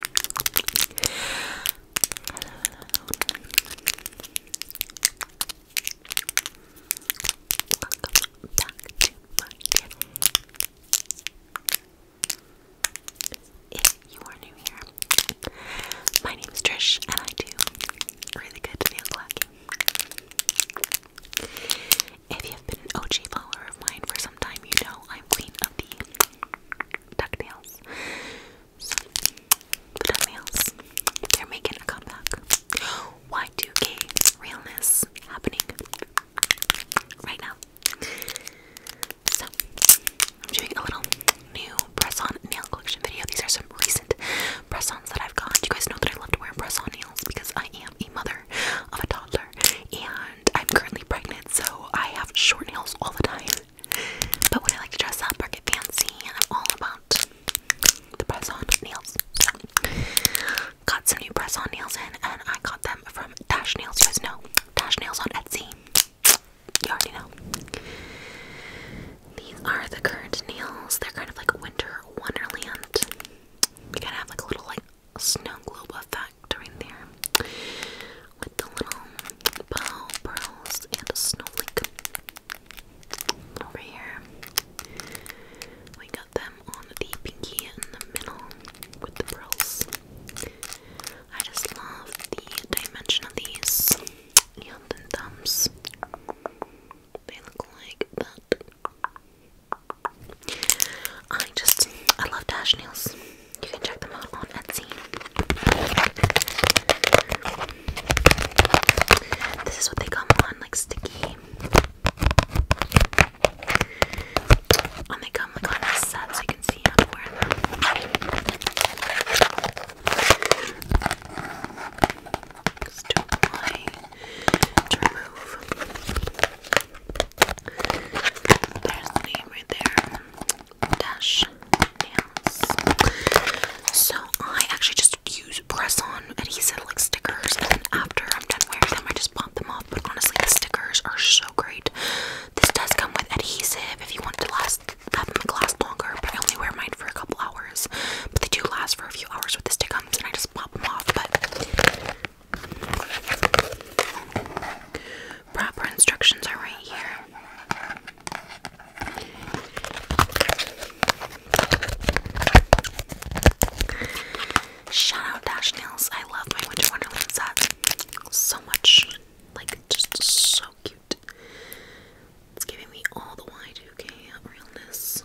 Welcome If you are new here, my name is Trish and I do really good nail lacking. If you have been an OG follower of mine for some time, you know I'm queen of the DuckTales. So, the DuckTales, they're making a comeback. Y2K realness happening right now. So, I'm doing a little new press on nail collection video. These are some recent press ons that I've got. You guys know that I love to wear press on nails because I am a mother of a toddler I'm currently pregnant, so I have short nails all the time. But when I like to dress up or get fancy, I'm all about the press-on nails. So, got some new press-on nails in, and I got them from Dash Nails. You guys know Dash Nails on Etsy. You already know. These are the current nails. They're kind of like winter wonderland. You kind of have like a little like snow globe effect effect there with the little bow pearls and a snowflake Over here, we got them on the pinky in the middle with the pearls. I just love the dimension of these and the thumbs. They look like that. I just, I love dash nails. You can check them out on Etsy. This is what they come on, like sticky. And they come like on a set so you can see how to wear them. to remove. There's the name right there. Dash dance. So I actually just use press-on adhesive like stickers, and then after I'm done wearing them, I just pop them off. But honestly, the stickers are so great. This does come with adhesive if you want to last have them last longer, but I only wear mine for a couple hours. But they do last for a few hours with the stickers, and I just pop them off. But Proper instructions are right here. Shout Dash Nails. I love my Winter Wonderland set so much. Like, just so cute. It's giving me all the Y2K realness.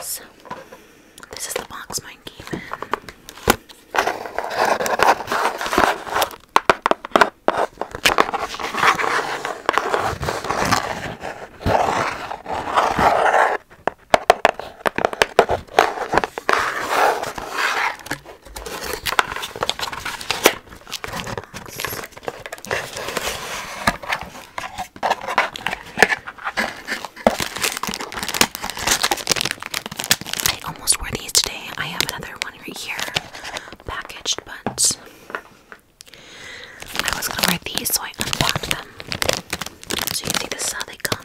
So, this is the box mine came in. I almost wore these today. I have another one right here packaged, but I was gonna wear these, so I unpacked them. So you can see this is how they come.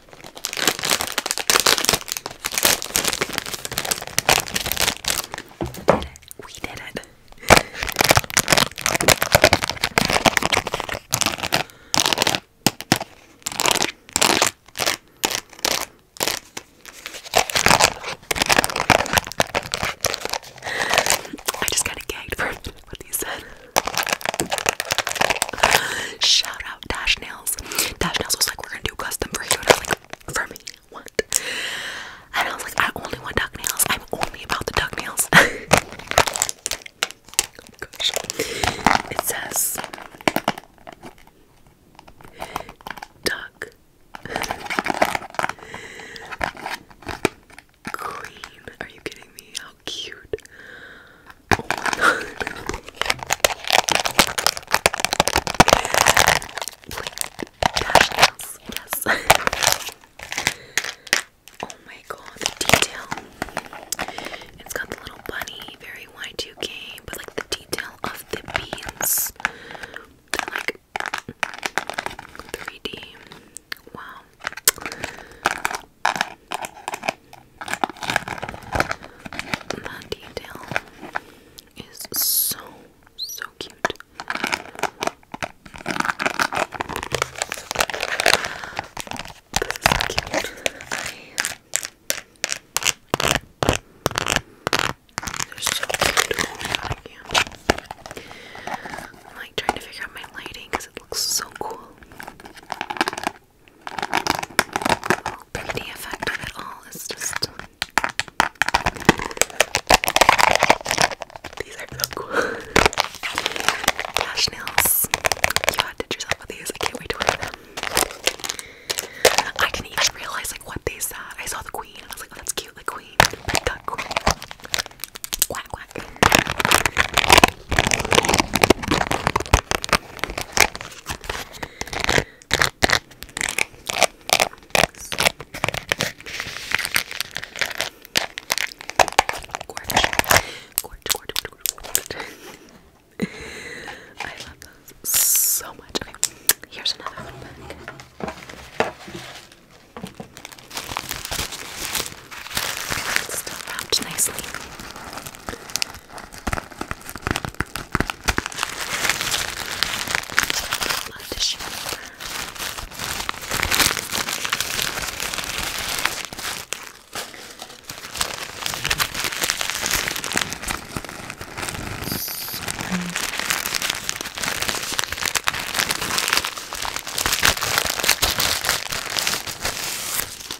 did it. We did it. I just kind of gagged for what you said. Shout out Dash Nail Dash Nails was like, we're gonna do custom for you. And I was like, for me? What? And I was like, I only want duck nails. I'm only about the duck nails. oh gosh. It says duck queen. Are you kidding me? cute. Oh my god. Yes. oh my god, detail. It's got the little bunny, very Y2K, but like the detail of the beans. They're like 3D. Wow. That detail is so, so cute. so cute. I'm like trying to figure out my lighting because it looks so cool. But the it all is just. These are so cool. Lash nails. You outdid yourself with these. I can't wait to wear them. I didn't even realize like what they said. I saw the queen and I was like, oh, that's cute, the queen. But queen. Quack quack. I love those so much. Okay, here's another one back. It's still wrapped nicely. A lot of tissue. Sorry.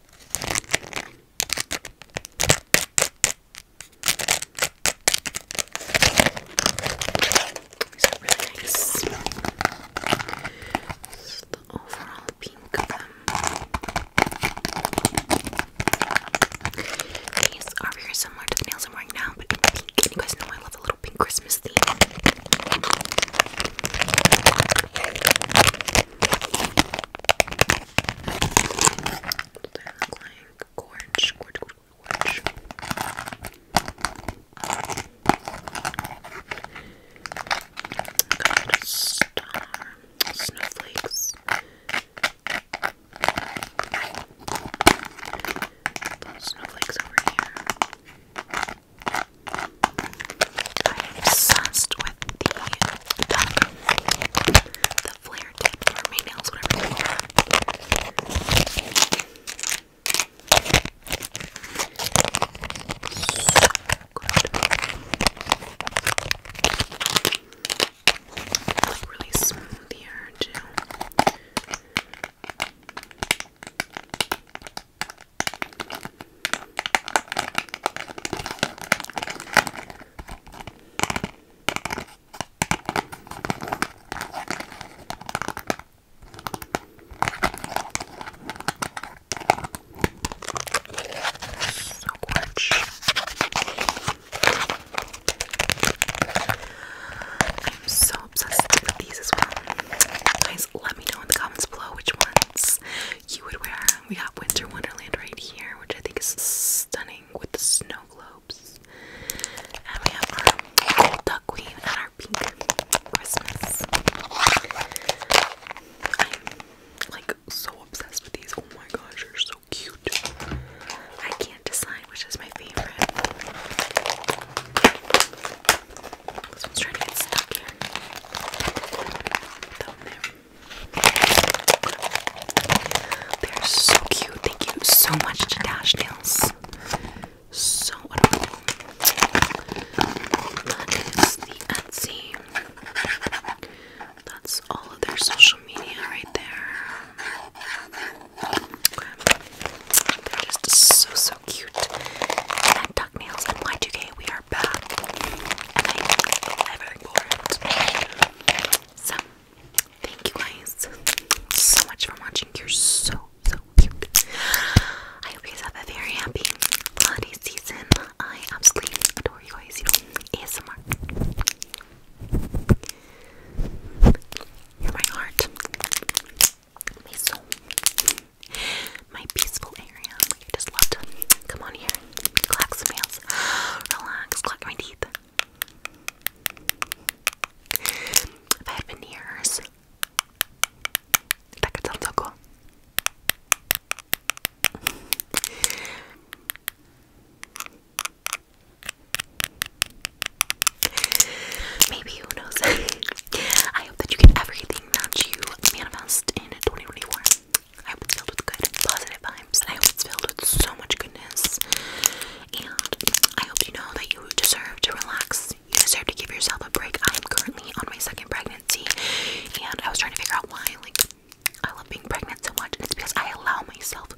These really nice. This the overall pink of them. These are very similar to the nails I'm wearing now, but pink. you guys know I love a little pink Christmas theme. They look like gorge, gorge, gorge, Got a star, snowflakes. snowflakes over here. I'm obsessed with the the flare tip or main nails, whatever like really smooth here too. So much. I'm so obsessed with these as well. Guys, let me know in the comments below which ones you would wear. We got Winter Wonderland right here, which I think is stunning with the snow globes. And we have our gold and our pink Christmas. I'm like so obsessed with these. Oh my gosh, they're so cute. I can't decide which is my favorite. This one's trying to get stuck here. Down there. They're so cute. Thank you so much to Dash Nails. So adorable. That is the Etsy. That's all of their social media right there. They're just so so cute. And Duck Nails and Y2K, we are back. thank you guys so much for watching. You're so, so cute. I hope you guys have a very happy holiday season. I absolutely adore you guys. You ASMR. You're my heart my peaceful area. I just love to come on here, clack some relax, clack my teeth. If had veneers, that could sound so cool. Maybe who knows? I hope that you get everything that you manifest in 2024. I hope it's filled with good, positive vibes, and I hope it's filled with so much goodness. And I hope you know that you deserve to relax. You deserve to give yourself a break. I am currently on my second pregnancy, and I was trying to figure out why. Like, I love being pregnant so much, and it's because I allow myself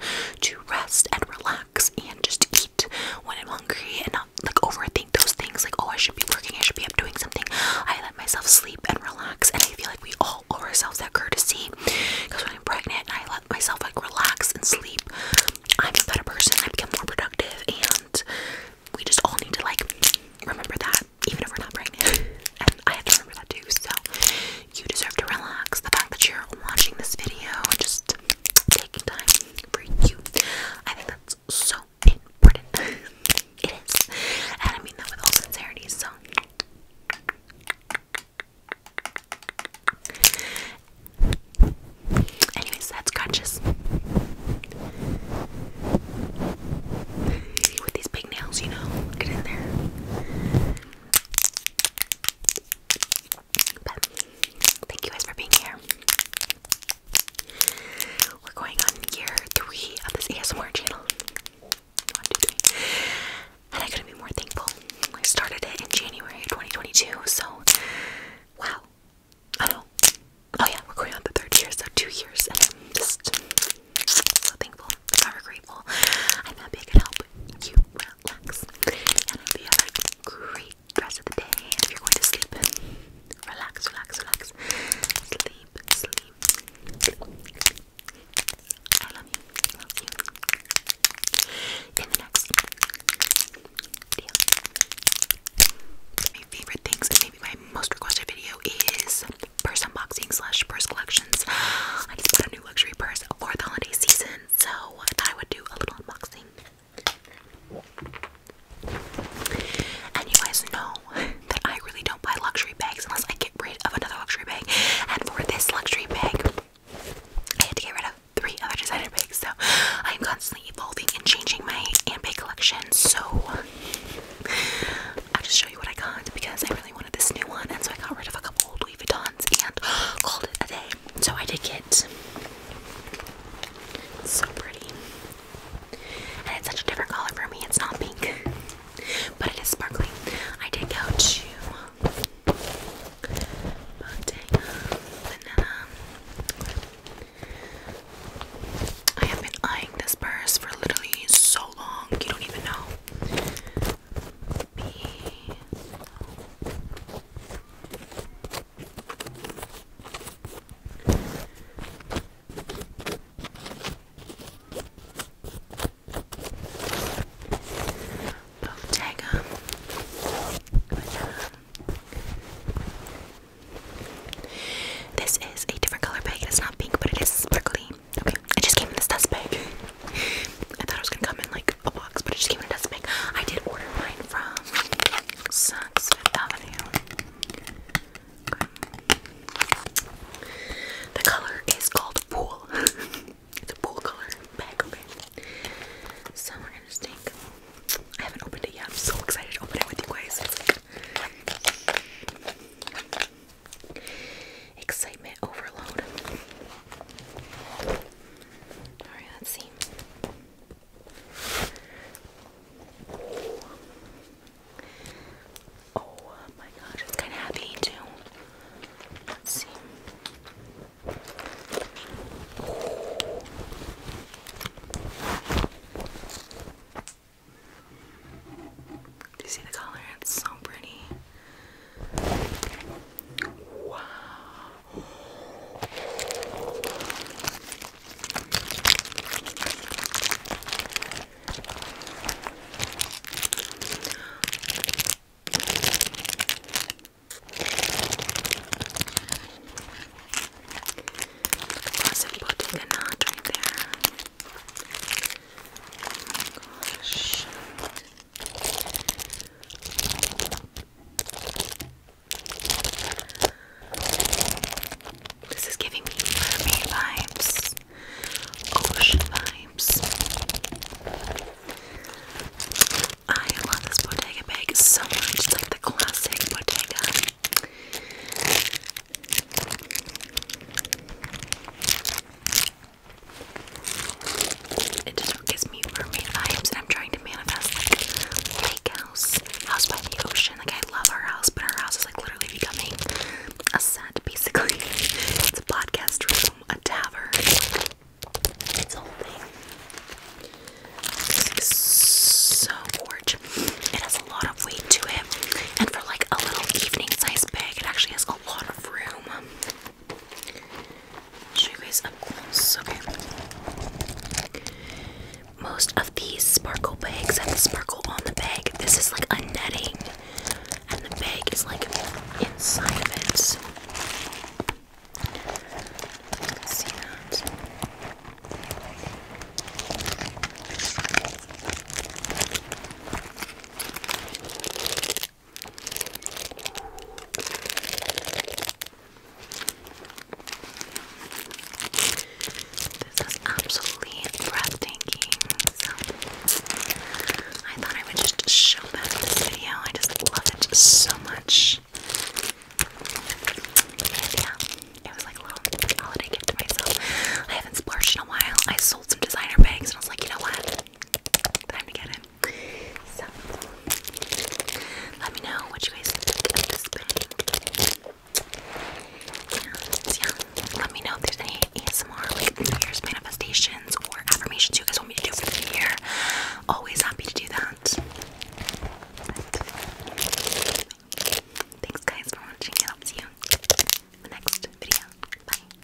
to rest and relax and just eat when I'm hungry and not like overthink those things like, oh, I should be working, I should be up doing something. I let myself sleep and relax, and I feel like we all owe ourselves that courtesy. Because when I'm pregnant I let myself like relax and sleep, I'm a better person. I become more productive, and we just all need to like remember that, even if we're not pregnant. and I have to remember that too. So you deserve to relax. The fact that you're watching this video and just taking time for you, I think that so important. it is. And I mean that with all sincerity, so. Anyways, that's conscious. With these big nails, you know, get in there thank you guys for being here. We're going on year three of this ASMR channel. And I couldn't be more thankful. I started it in January 2022, so wow. Oh, oh yeah, we're going on the third year, so two years, and I'm just so thankful, forever grateful. I'm happy I can you relax, and I hope you a great rest of the day. And if you're going to sleep, relax, relax, relax. Sleep, sleep. I love you. Love you. In the next video, my favorite things and maybe my most requested video is purse unboxing slash purse collections. I just bought a new luxury purse for the holiday season, so I would do a little unboxing. And you guys know that I really don't buy luxury bags unless I get rid of another luxury bag. And for this luxury bag, I had to get rid of three other designer bags. So I'm constantly evolving and changing my handbag collection. So i just show you what I got because I really wanted this new one. And so I got rid of a couple old Louis Vuittons and called it a day. So I did get it's so pretty. And it's such a different color for me. It's not pink, but it is sparkling. I did go to Bottega Veneta. I have been eyeing this purse for literally so long. You don't even know. Bottega This is a different color bag. It's not pink, but it is sparkly. Okay, I just came in this dust bag. I thought I was gonna come in like a box, but it just came in a dust bag. I did order mine from Saks Avenue. The color is called Pool. it's a pool color So we're gonna just I haven't opened it yet. I'm so excited to open it with you guys. Excitement overload. Alright, let's see. Oh my gosh, it's kind of heavy too. Let's see. Do you see the color? It's so pretty. Wow. Wasn't putting a knot right there. Oh my gosh. This is giving me mermaid vibes, ocean vibes. I love this Bottega bag so much, it's the classic Bottega. It just gives me mermaid vibes, and I'm trying to manifest like lake house, house by the ocean. Like I love our house, but our house is like literally becoming a set. Basically, it's a podcast room, a tavern, it's a whole thing. so gorgeous. It has a lot of weight to it, and for like a little evening size bag, it actually has a lot of room. Show you guys Okay. Most of these sparkle bags have the sparkle on the bag. This is like a netting, and the bag is like inside of it. You see that. This is absolutely breathtaking. So I thought I would just show that in this video. I just love it so much. yeah, it was like a little holiday gift to myself. I haven't splurged in a while. I sold some designer bags and I was like, you know what? Time to get it. So, let me know what you guys think of this yeah, let me know if there's any ASMR, like New Year's manifestations or affirmations you guys want me to do for the year. Always happy to do that. thanks guys for watching I'll see you in the next video. Bye.